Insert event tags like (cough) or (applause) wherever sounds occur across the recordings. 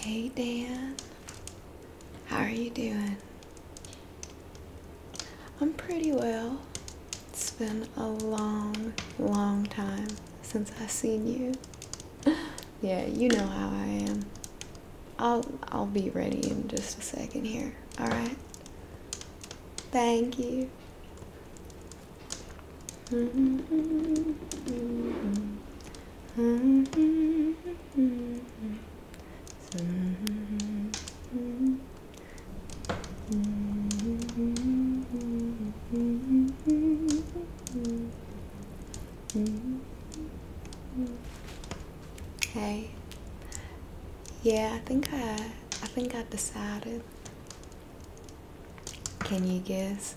Hey Dan, how are you doing? I'm pretty well. It's been a long, long time since I've seen you. (laughs) yeah, you know how I am. I'll I'll be ready in just a second here. All right. Thank you. Mm-hmm. Mm-hmm. Mm-hmm. Hey. Yeah, I think I I think I decided. Can you guess?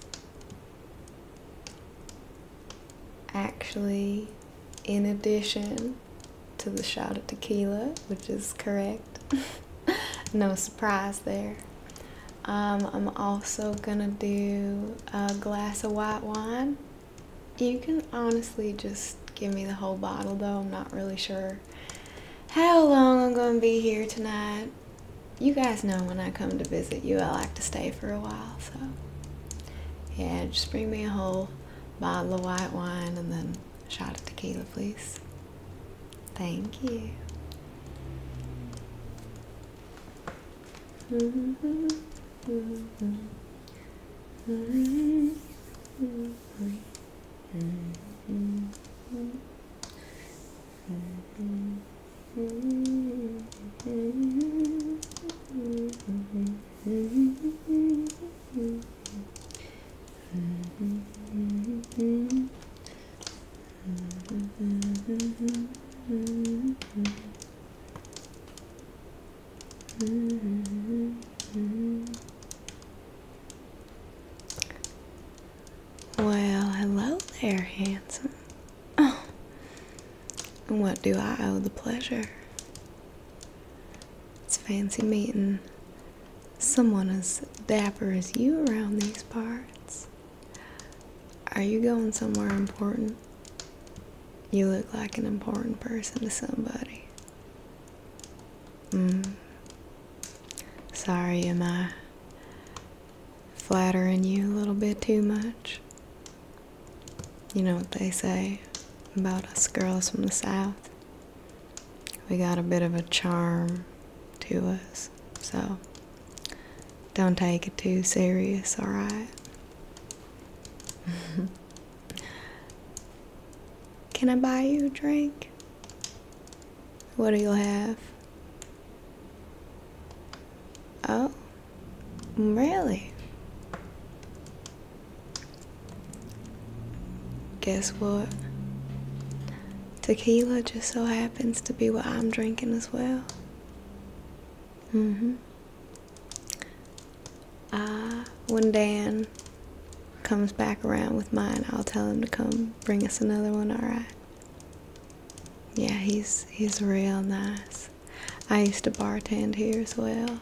Actually, in addition to the shot of tequila, which is correct. (laughs) no surprise there. Um, I'm also gonna do a glass of white wine. You can honestly just give me the whole bottle though. I'm not really sure how long I'm gonna be here tonight. You guys know when I come to visit you, I like to stay for a while, so yeah, just bring me a whole bottle of white wine and then a shot of tequila, please. Thank you. (laughs) Well, hello there, handsome. Oh, and what do I owe the pleasure? It's fancy meeting someone as dapper as you around these parts. Are you going somewhere important? You look like an important person to somebody. Mm. Sorry, am flattering you a little bit too much? You know what they say about us girls from the South? We got a bit of a charm to us, so don't take it too serious, alright? (laughs) Can I buy you a drink? What do you have? Oh, really? Guess what? Tequila just so happens to be what I'm drinking as well. hmm. Uh, when Dan comes back around with mine, I'll tell him to come bring us another one, alright? Yeah, he's he's real nice. I used to bartend here as well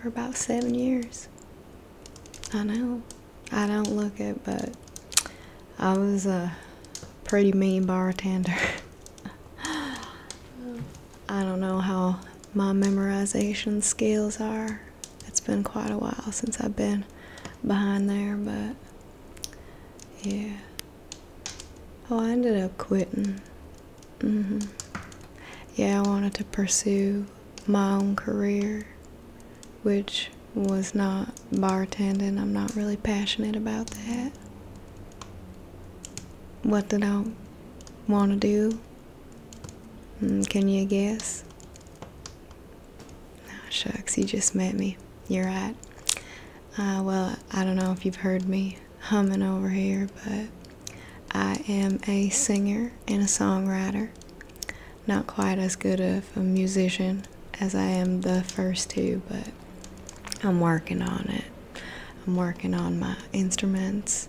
for about seven years. I know. I don't look it, but I was a pretty mean bartender. (laughs) I don't know how my memorization skills are. It's been quite a while since I've been behind there, but yeah. Oh, I ended up quitting Mm-hmm. Yeah, I wanted to pursue my own career, which was not bartending. I'm not really passionate about that. What did I want to do? Mm, can you guess? No shucks, you just met me. You're right. Uh, well, I don't know if you've heard me humming over here, but I am a singer and a songwriter. Not quite as good of a musician as I am the first two, but I'm working on it. I'm working on my instruments,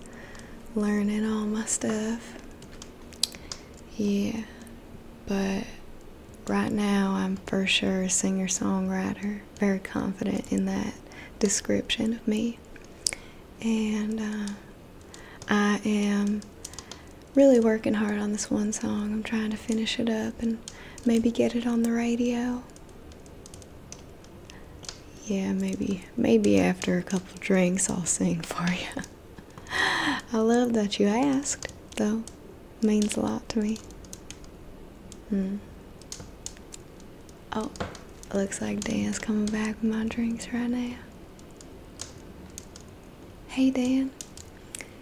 learning all my stuff. Yeah, but right now I'm for sure a singer songwriter, very confident in that description of me and uh, I am really working hard on this one song. I'm trying to finish it up and maybe get it on the radio. Yeah, maybe maybe after a couple drinks I'll sing (laughs) for you. I love that you asked, though. It means a lot to me. Hmm. Oh, looks like Dan's coming back with my drinks right now. Hey Dan,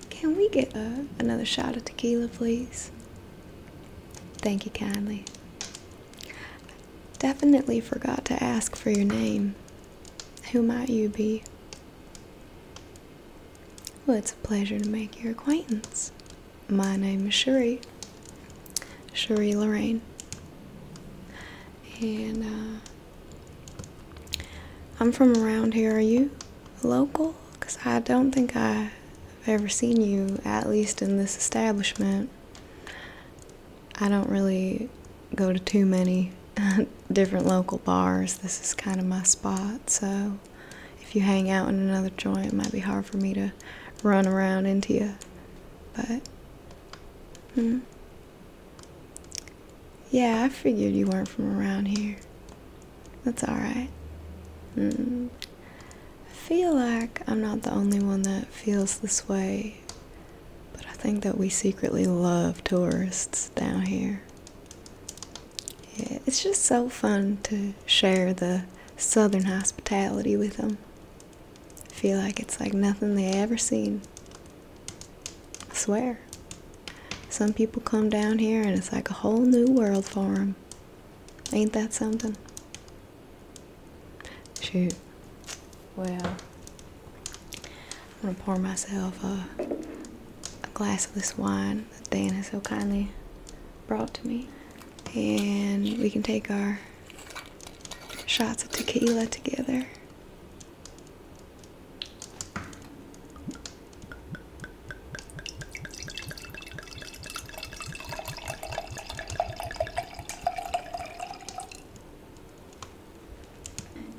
can we get uh, another shot of tequila, please? Thank you kindly. Definitely forgot to ask for your name. Who might you be? Well, it's a pleasure to make your acquaintance. My name is Cherie, Cherie Lorraine. And uh, I'm from around here. Are you local? Because I don't think I've ever seen you, at least in this establishment. I don't really go to too many (laughs) different local bars. This is kind of my spot, so if you hang out in another joint, it might be hard for me to run around into you. But Hmm. Yeah, I figured you weren't from around here. That's alright. Hmm. I feel like I'm not the only one that feels this way, but I think that we secretly love tourists down here. Yeah, it's just so fun to share the southern hospitality with them feel like it's like nothing they ever seen. I swear. Some people come down here and it's like a whole new world for them. Ain't that something? Shoot. Well, I'm gonna pour myself a, a glass of this wine that Dan so kindly brought to me. And we can take our shots of tequila together.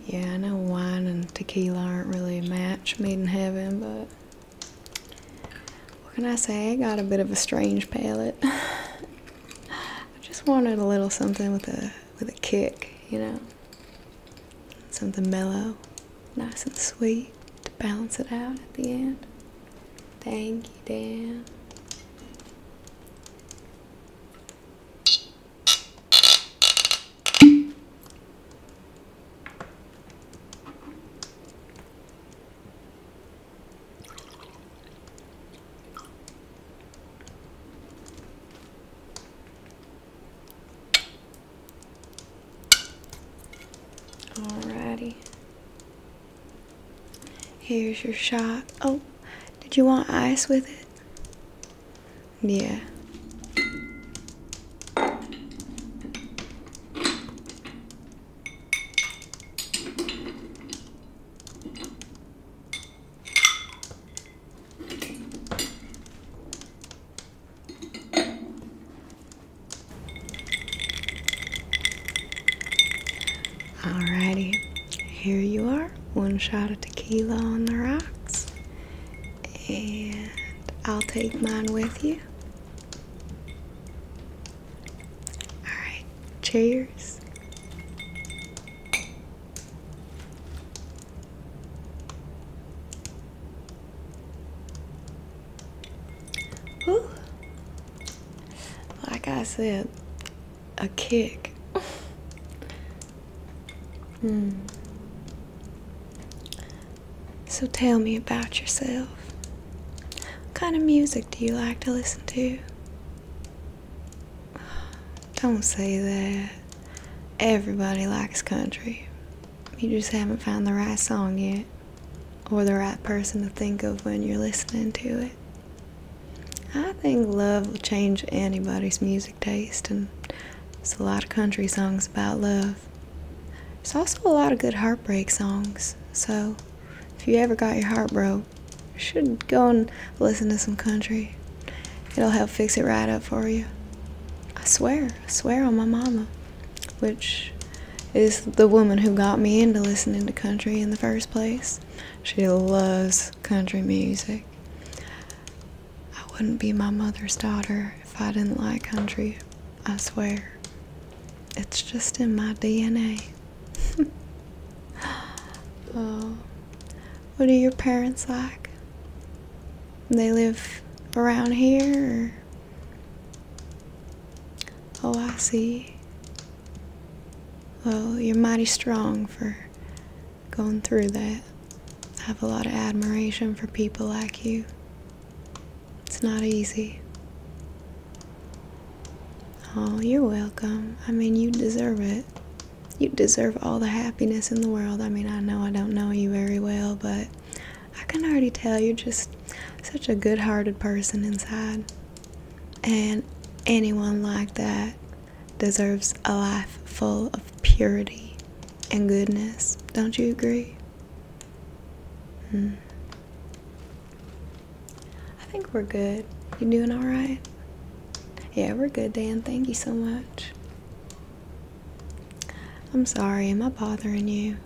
Yeah, I know wine and tequila aren't really a match made in heaven, but what can I say? I got a bit of a strange palate. (laughs) I just wanted a little something with a with a kick, you know. Something mellow, nice and sweet to balance it out at the end. Thank you, Dan. All righty. Here's your shot. Oh, did you want ice with it? Yeah. Alrighty, here you are. One shot of tequila on the rocks. And I'll take mine with you. Alright, cheers. Whew. Like I said, a kick. (laughs) mm. So tell me about yourself. What kind of music do you like to listen to? Don't say that. Everybody likes country. You just haven't found the right song yet, or the right person to think of when you're listening to it. I think love will change anybody's music taste, and there's a lot of country songs about love. There's also a lot of good heartbreak songs, so if you ever got your heart broke, know, should go and listen to some country. It'll help fix it right up for you. I swear, I swear on my mama, which is the woman who got me into listening to country in the first place. She loves country music. I wouldn't be my mother's daughter if I didn't like country, I swear. It's just in my DNA. oh. (laughs) Uh, what are your parents like? They live around here? Oh, I see. Well, you're mighty strong for going through that. I have a lot of admiration for people like you. It's not easy. Oh, you're welcome. I mean, you deserve it. You deserve all the happiness in the world. I mean, I know I don't know you very well, but I can already tell you're just such a good hearted person inside. And anyone like that deserves a life full of purity and goodness. Don't you agree? Hmm. I think we're good. You doing all right? Yeah, we're good, Dan. Thank you so much. I'm sorry, am I bothering you?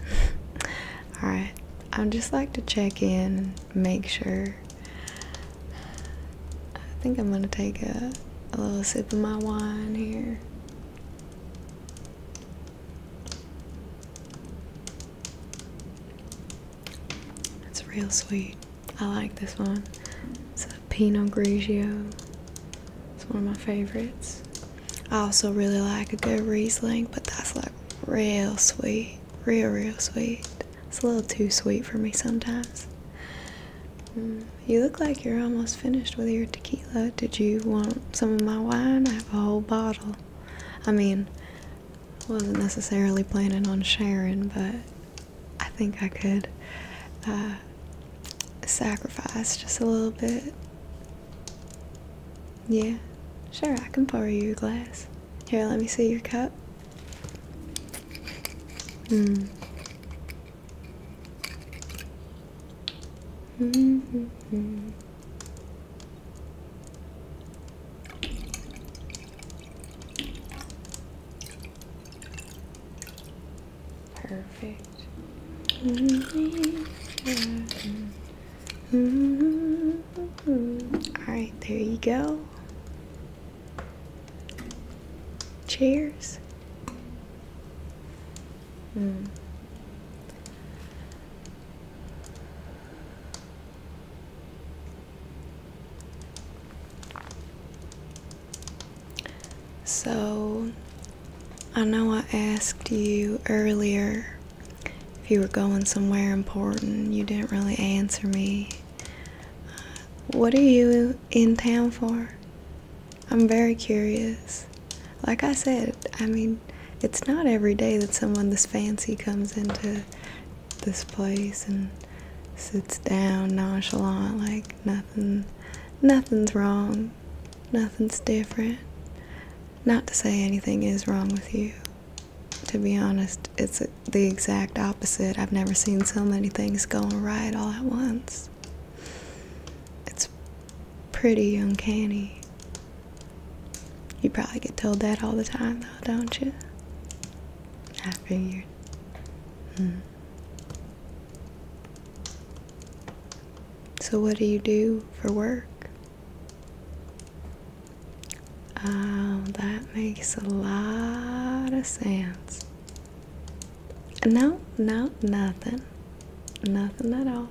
(laughs) Alright, I'd just like to check in make sure. I think I'm gonna take a, a little sip of my wine here. It's real sweet. I like this one. It's a Pinot Grigio. It's one of my favorites. I also really like a good Riesling, but that's like real sweet. Real, real sweet. It's a little too sweet for me sometimes. Mm, you look like you're almost finished with your tequila. Did you want some of my wine? I have a whole bottle. I mean, wasn't necessarily planning on sharing, but I think I could uh, sacrifice just a little bit. Yeah, sure, I can pour you a glass. Here, let me see your cup. Mm. Mm -hmm. Perfect. Alright, there you go. Cheers. Mm. So, I know I asked you earlier if you were going somewhere important. You didn't really answer me. Uh, what are you in town for? I'm very curious. Like I said, I mean, it's not every day that someone this fancy comes into this place and sits down nonchalant like nothing nothing's wrong nothing's different not to say anything is wrong with you to be honest it's the exact opposite i've never seen so many things going right all at once it's pretty uncanny you probably get told that all the time, though, don't you? I figured. Hmm. So, what do you do for work? Oh, that makes a lot of sense. No, no, nothing. Nothing at all.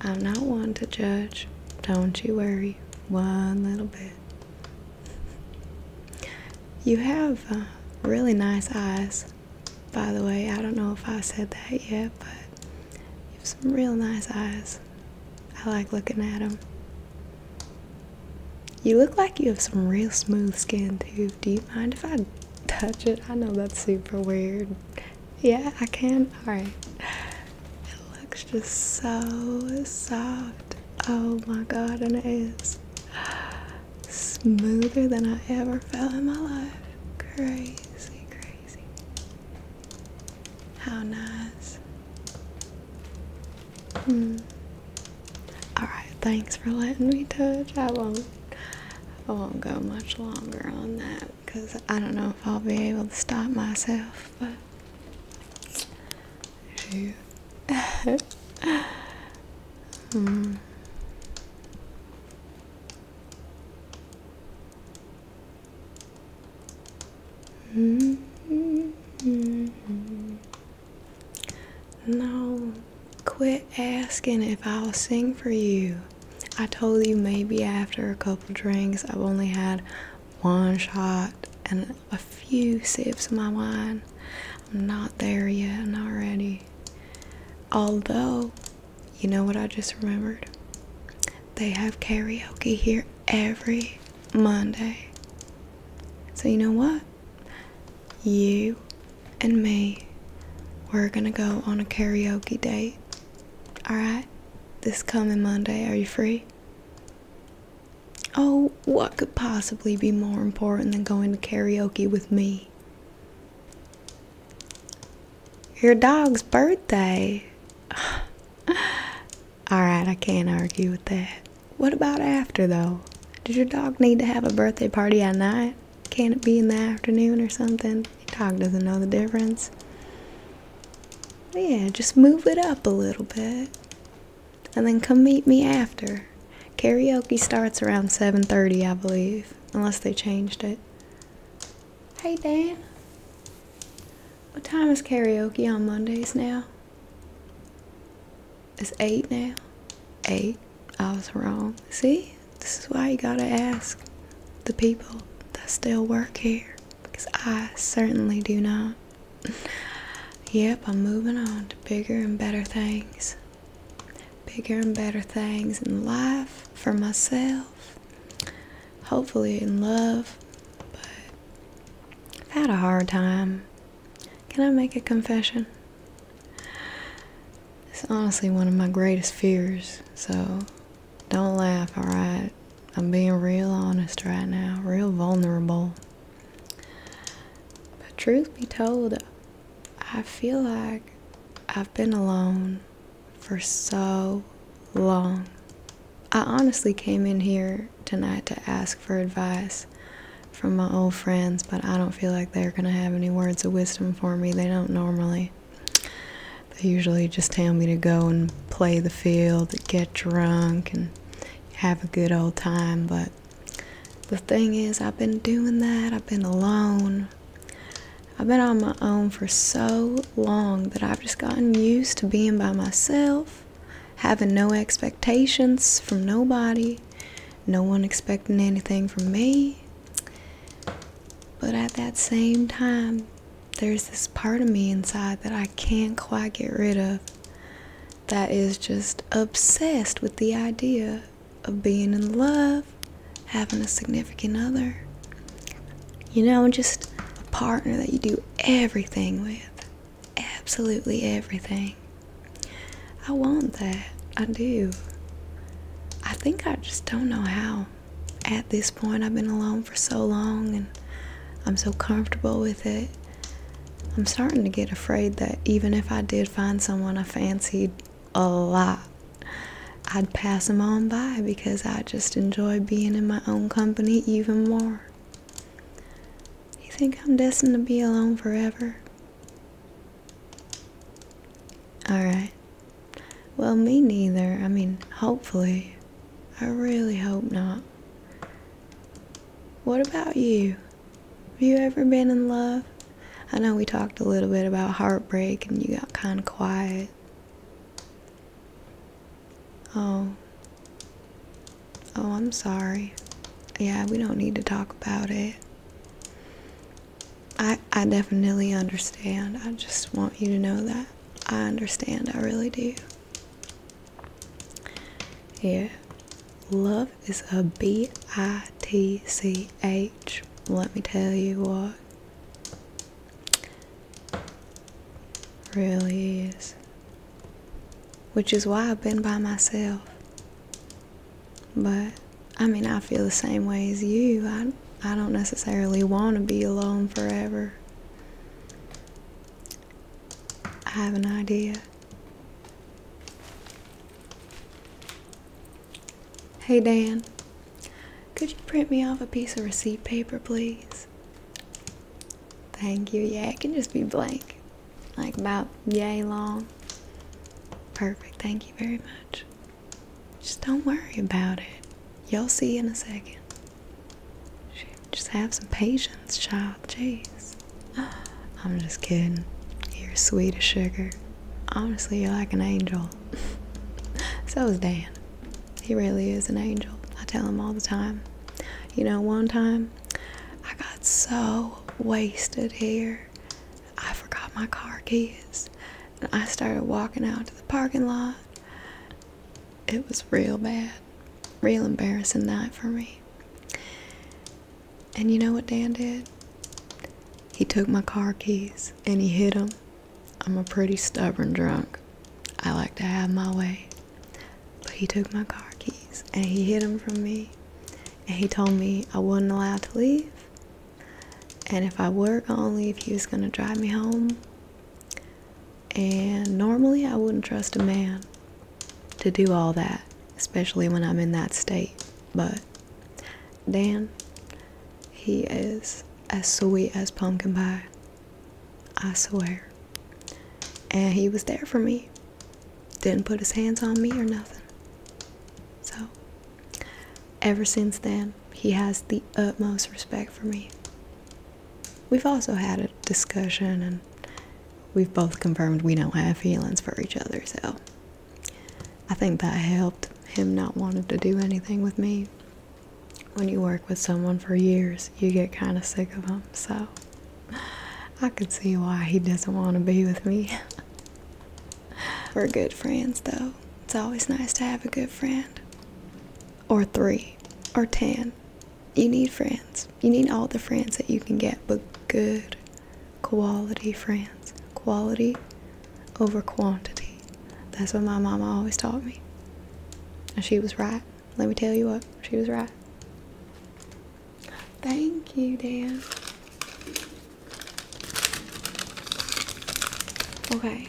I'm not one to judge. Don't you worry one little bit. You have uh, really nice eyes, by the way. I don't know if I said that yet, but you have some real nice eyes. I like looking at them. You look like you have some real smooth skin, too. Do you mind if I touch it? I know that's super weird. Yeah, I can. Alright. It looks just so soft. Oh my god, and it is smoother than I ever felt in my life. Crazy, crazy. How nice. Hmm. Alright, thanks for letting me touch. I won't I won't go much longer on that because I don't know if I'll be able to stop myself, but (laughs) hmm. mm-hmm. No, quit asking if I'll sing for you. I told you maybe after a couple drinks, I've only had one shot and a few sips of my wine. I'm not there yet, I'm not ready. Although, you know what I just remembered? They have karaoke here every Monday. So, you know what? You and me, we're gonna go on a karaoke date. Alright, this coming Monday, are you free? Oh, what could possibly be more important than going to karaoke with me? Your dog's birthday. (sighs) Alright, I can't argue with that. What about after, though? Did your dog need to have a birthday party at night? Can not it be in the afternoon or something? dog. doesn't know the difference. yeah, just move it up a little bit. And then come meet me after. Karaoke starts around 7:30, I believe, unless they changed it. Hey Dan. What time is karaoke on Mondays now? It's 8 now. 8. I was wrong. See? This is why you gotta ask the people that still work here because I certainly do not. (laughs) yep, I'm moving on to bigger and better things. Bigger and better things in life for myself. Hopefully, in love. But I've had a hard time. Can I make a confession? It's honestly one of my greatest fears, so don't laugh, alright? I'm being real honest right now, real vulnerable. But truth be told, I feel like I've been alone for so long. I honestly came in here tonight to ask for advice from my old friends, but I don't feel like they're going to have any words of wisdom for me. They don't normally. They usually just tell me to go and play the field, get drunk, and have a good old time. But the thing is, I've been doing that, I've been alone. I've been on my own for so long that I've just gotten used to being by myself, having no expectations from nobody, no one expecting anything from me. But at that same time, there's this part of me inside that I can't quite get rid of that is just obsessed with the idea of being in love, having a significant other, you know, just a partner that you do everything with, absolutely everything. I want that. I do. I think I just don't know how at this point, I've been alone for so long and I'm so comfortable with it. I'm starting to get afraid that even if I did find someone I fancied a lot, I'd pass them on by because I just enjoy being in my own company even more. You think I'm destined to be alone forever? Alright, well, me neither. I mean, hopefully. I really hope not. What about you? Have you ever been in love? I know we talked a little bit about heartbreak and you got kind of quiet. Oh. Oh, I'm sorry. Yeah, we don't need to talk about it. I, I definitely understand. I just want you to know that. I understand. I really do. Yeah. Love is a B I T C H. Let me tell you what. Really is. Which is why I've been by myself. But I mean, I feel the same way as you. I, I don't necessarily want to be alone forever. I have an idea. Hey Dan, could you print me off a piece of receipt paper, please? Thank you. Yeah, it can just be blank. Like about yay long. Perfect. Thank you very much. Just don't worry about it. you all see in a second. just have some patience, child. Jeez. (gasps) I'm just kidding. You're sweet as sugar. Honestly, you're like an angel. (laughs) so is Dan. He really is an angel. I tell him all the time. You know, one time I got so wasted here. I forgot my car keys and I started walking out to the parking lot. It was real bad, real embarrassing night for me. And you know what Dan did? He took my car keys and he hid them. I'm a pretty stubborn drunk. I like to have my way. But he took my car keys and he hid them from me. And he told me I wasn't allowed to leave and if I were only if leave, he was gonna drive me home. And normally I wouldn't trust a man to do all that, especially when I'm in that state. But Dan, he is as sweet as pumpkin pie. I swear. And he was there for me. Didn't put his hands on me or nothing. So Ever since then, he has the utmost respect for me. We've also had a discussion, and we've both confirmed we don't have feelings for each other, so I think that helped him not wanting to do anything with me. When you work with someone for years, you get kind of sick of them, so I can see why he doesn't want to be with me. (laughs) We're good friends, though. It's always nice to have a good friend or three or ten. You need friends. You need all the friends that you can get, but good quality friends. Quality over quantity. That's what my mama always taught me. And she was right. Let me tell you what, she was right. Thank you, Dan. Okay,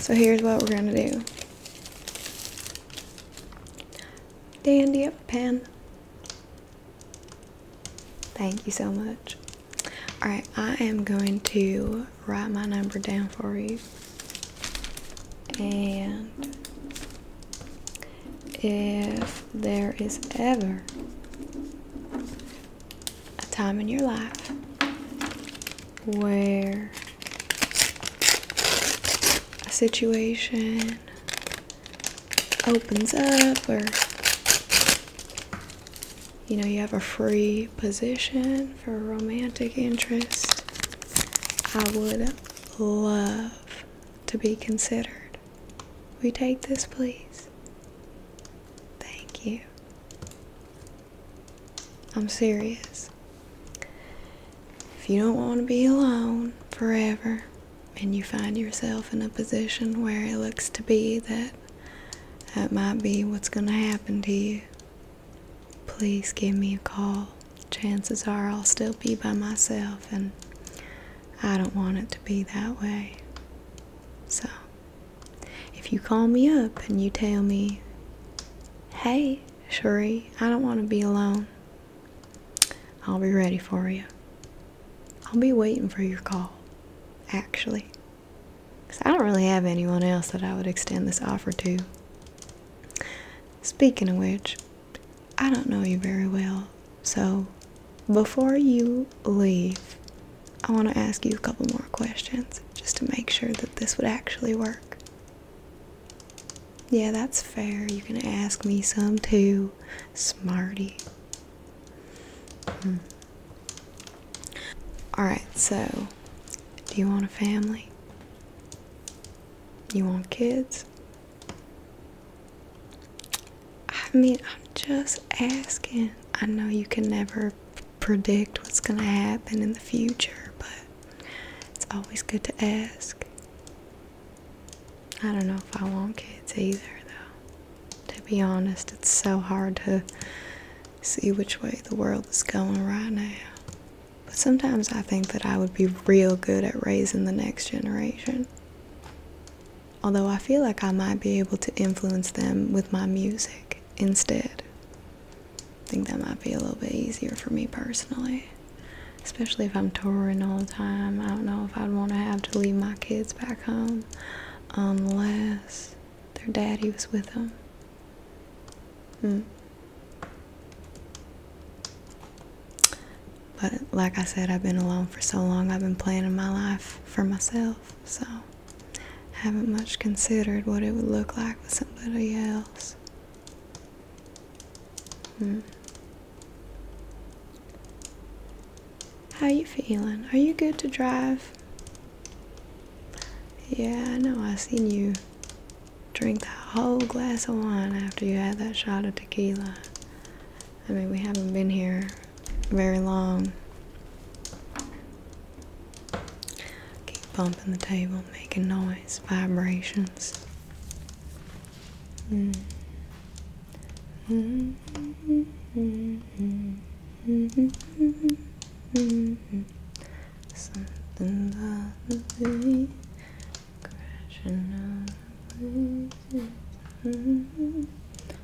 so here's what we're gonna do. Dandy up a pen. Thank you so much. Alright, I am going to write my number down for you. And if there is ever a time in your life where a situation opens up or you know you have a free position for a romantic interest i would love to be considered we take this please thank you I'm serious. If you don't want to be alone forever and you find yourself in a position where it looks to be that that might be what's going to happen to you, please give me a call. Chances are I'll still be by myself and I don't want it to be that way. So, if you call me up and you tell me, hey, Sherry, I don't want to be alone, I'll be ready for you. I'll be waiting for your call, actually. Because I don't really have anyone else that I would extend this offer to. Speaking of which, I don't know you very well, so before you leave, I want to ask you a couple more questions just to make sure that this would actually work. Yeah, that's fair. You can ask me some too, smarty. Hmm. Alright, so do you want a family? You want kids? I mean, I'm just asking. I know you can never predict what's going to happen in the future, but it's always good to ask. I don't know if I want kids either, though. To be honest, it's so hard to see which way the world is going right now. But sometimes I think that I would be real good at raising the next generation. Although I feel like I might be able to influence them with my music instead. I think that might be a little bit easier for me personally. Especially if I'm touring all the time. I don't know if I'd want to have to leave my kids back home unless their daddy was with them. Mm. But like I said, I've been alone for so long, I've been planning my life for myself, so haven't much considered what it would look like with somebody else. Hmm. How you feeling? Are you good to drive? Yeah, I know I seen you drink that whole glass of wine after you had that shot of tequila. I mean, we haven't been here very long. Keep bumping the table, making noise, vibrations. Mm. Mm -hmm. Something about the sea crashing on the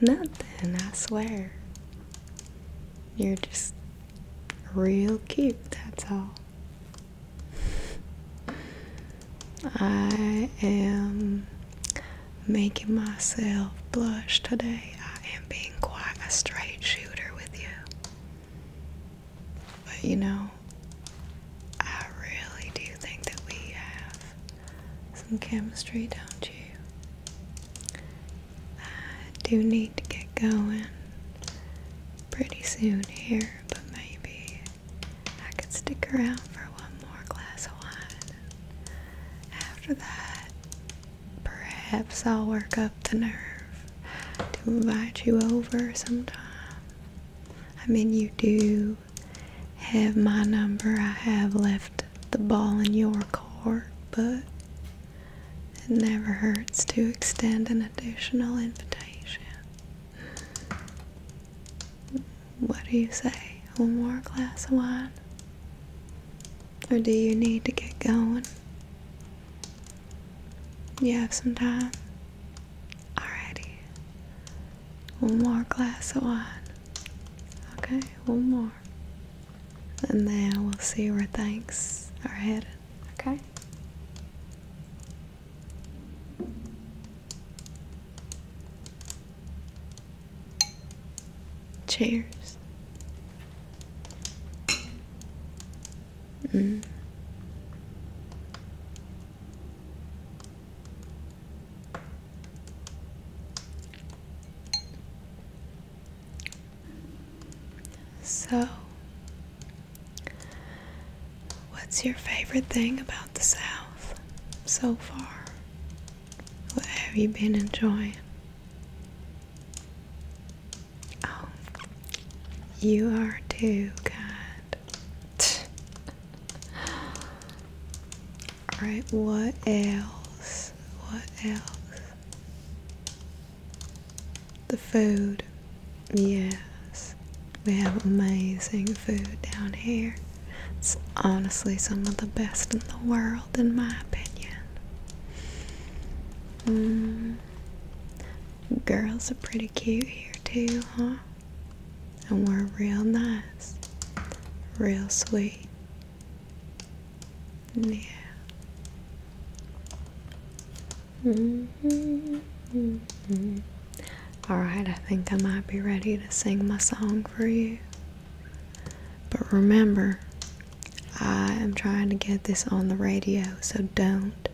Nothing, I swear. You're just real cute, that's all. I am making myself blush today. I am being quite a straight shooter with you. But you know, I really do think that we have some chemistry, don't you? I do need to get going pretty soon here, but maybe I could stick around for one more glass of wine. After that, perhaps I'll work up the nerve to invite you over sometime. I mean, you do have my number. I have left the ball in your court, but it never hurts to extend an additional invitation. What do you say? One more glass of wine? Or do you need to get going? You have some time? Alrighty. One more glass of wine. Okay, one more and then we'll see where thanks are headed. Okay. Cheers. Mm. So, what's your favorite thing about the South so far? What have you been enjoying? Oh, you are too kind. Alright, what else? What else? The food. Yes. We have amazing food down here. It's honestly some of the best in the world, in my opinion. Mm. Girls are pretty cute here, too, huh? And we're real nice, real sweet, yeah. Mm -hmm, mm -hmm. Alright, I think I might be ready to sing my song for you. But remember, I am trying to get this on the radio, so don't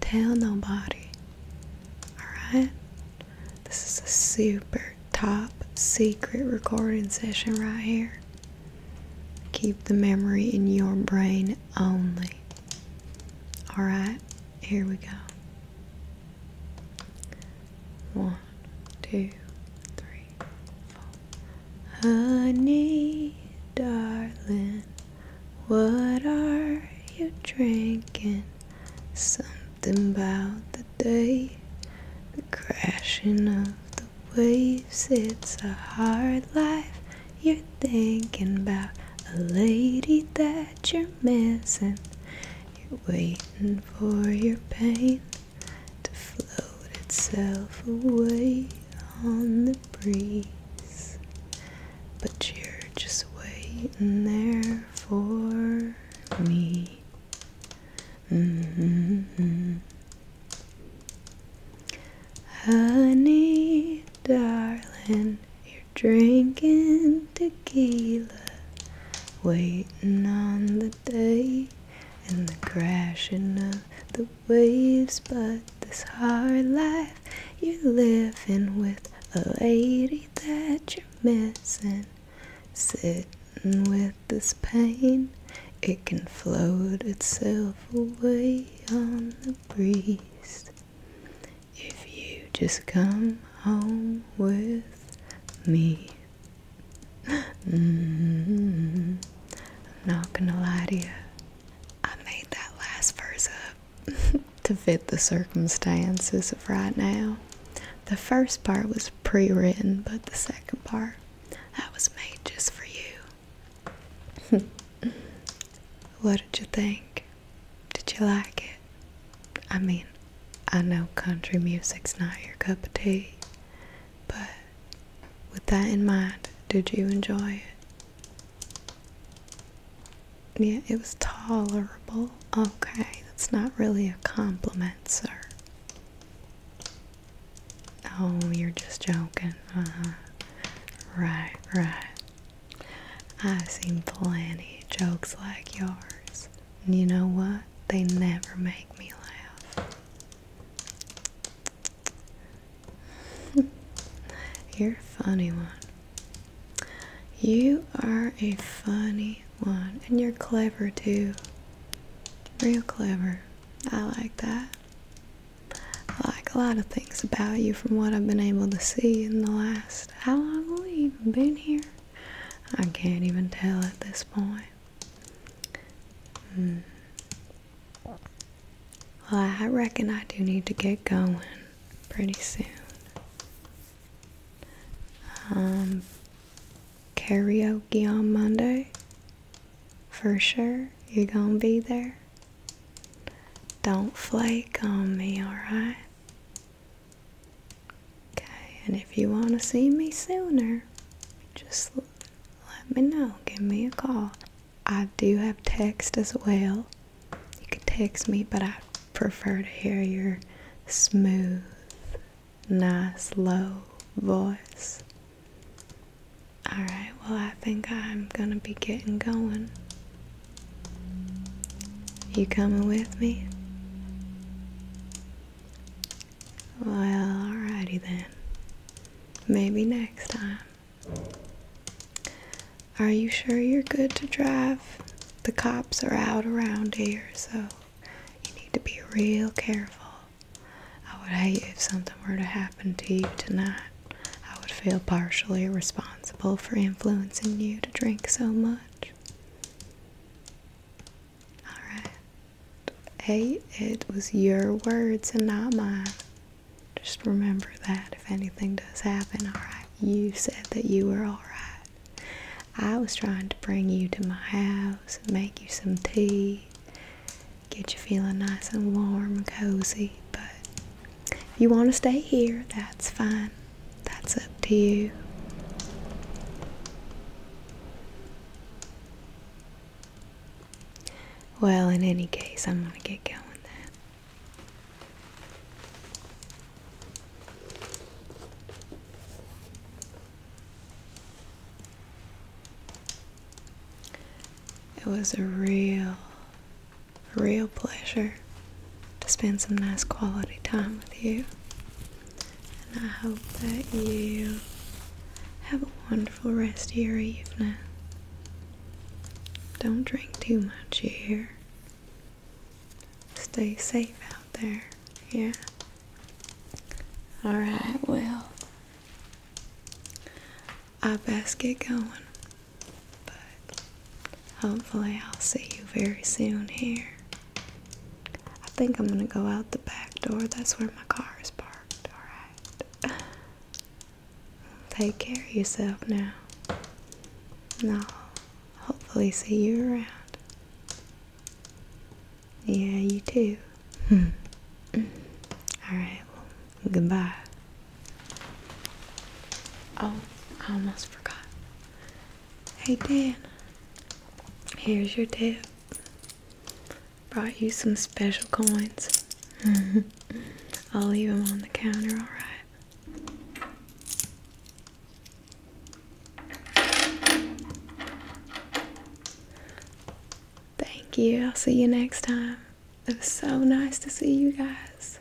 tell nobody. Alright? This is a super top secret recording session right here. Keep the memory in your brain only. Alright, here we go. One, two, three. Honey, darling, what are you drinking? Something about the day. The crashing of the waves, it's a hard life. You're thinking about a lady that you're missing. You're waiting for your pain to float itself away on the breeze. But you're just waiting there for me. Mm-hmm. Honey, darling, you're drinking tequila, waiting on the day and the crashing of the waves. But this hard life you're living with a lady that you're missing Sitting with this pain, it can float itself away on the breeze. If you just come home with me. Mm-hmm. I'm not gonna lie to you. I made that last verse up (laughs) to fit the circumstances of right now. The first part was pre written, but the second part that was made just for you. (laughs) what did you think? Did you like it? I mean, I know country music's not your cup of tea, but with that in mind, did you enjoy it? Yeah, it was tolerable. Okay, that's not really a compliment, sir. Oh, you're just joking. Uh-huh. Right, right. I've seen plenty jokes like yours. And you know what? They never make me laugh. (laughs) you're a funny one. You are a funny one, and you're clever too. Real clever. I like that. I like a lot of things about you from what I've been able to see in the last how long have we even been here? I can't even tell at this point. Hmm. Well, I reckon I do need to get going pretty soon. Um, karaoke on Monday. For sure, you're gonna be there. Don't flake on me, alright? Okay, and if you want to see me sooner, just let me know. Give me a call. I do have text as well. You can text me, but I prefer to hear your smooth, nice low voice. Alright, well, I think I'm gonna be getting going. You coming with me? Well, alrighty then. Maybe next time. Are you sure you're good to drive? The cops are out around here, so you need to be real careful. I would hate if something were to happen to you tonight. I would feel partially responsible for influencing you to drink so much. Alright. Hey, it was your words and not mine. Just remember that if anything does happen, alright? You said that you were alright. I was trying to bring you to my house, make you some tea, get you feeling nice and warm and cozy. But if you want to stay here, that's fine. That's up to you. Well, in any case, I'm going to get going then. It was a real, real pleasure to spend some nice quality time with you. And I hope that you have a wonderful rest of your evening. Don't drink too much here. Stay safe out there, yeah? All right, well, I best get going, but hopefully, I'll see you very soon here. I think I'm gonna go out the back door, that's where my car is parked. All right, take care of yourself now, and hopefully see you around. Yeah, you too. Hmm. Alright, goodbye. Oh, I almost forgot. Hey, Dan. Here's your tip. Brought you some special coins. (laughs) I'll leave them on the counter, alright? Thank you. I'll see you next time. It was so nice to see you guys.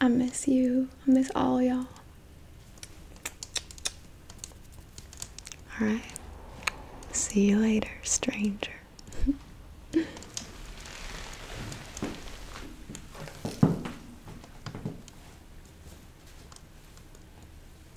I miss you. I miss all y'all. Alright. See you later, stranger. (laughs)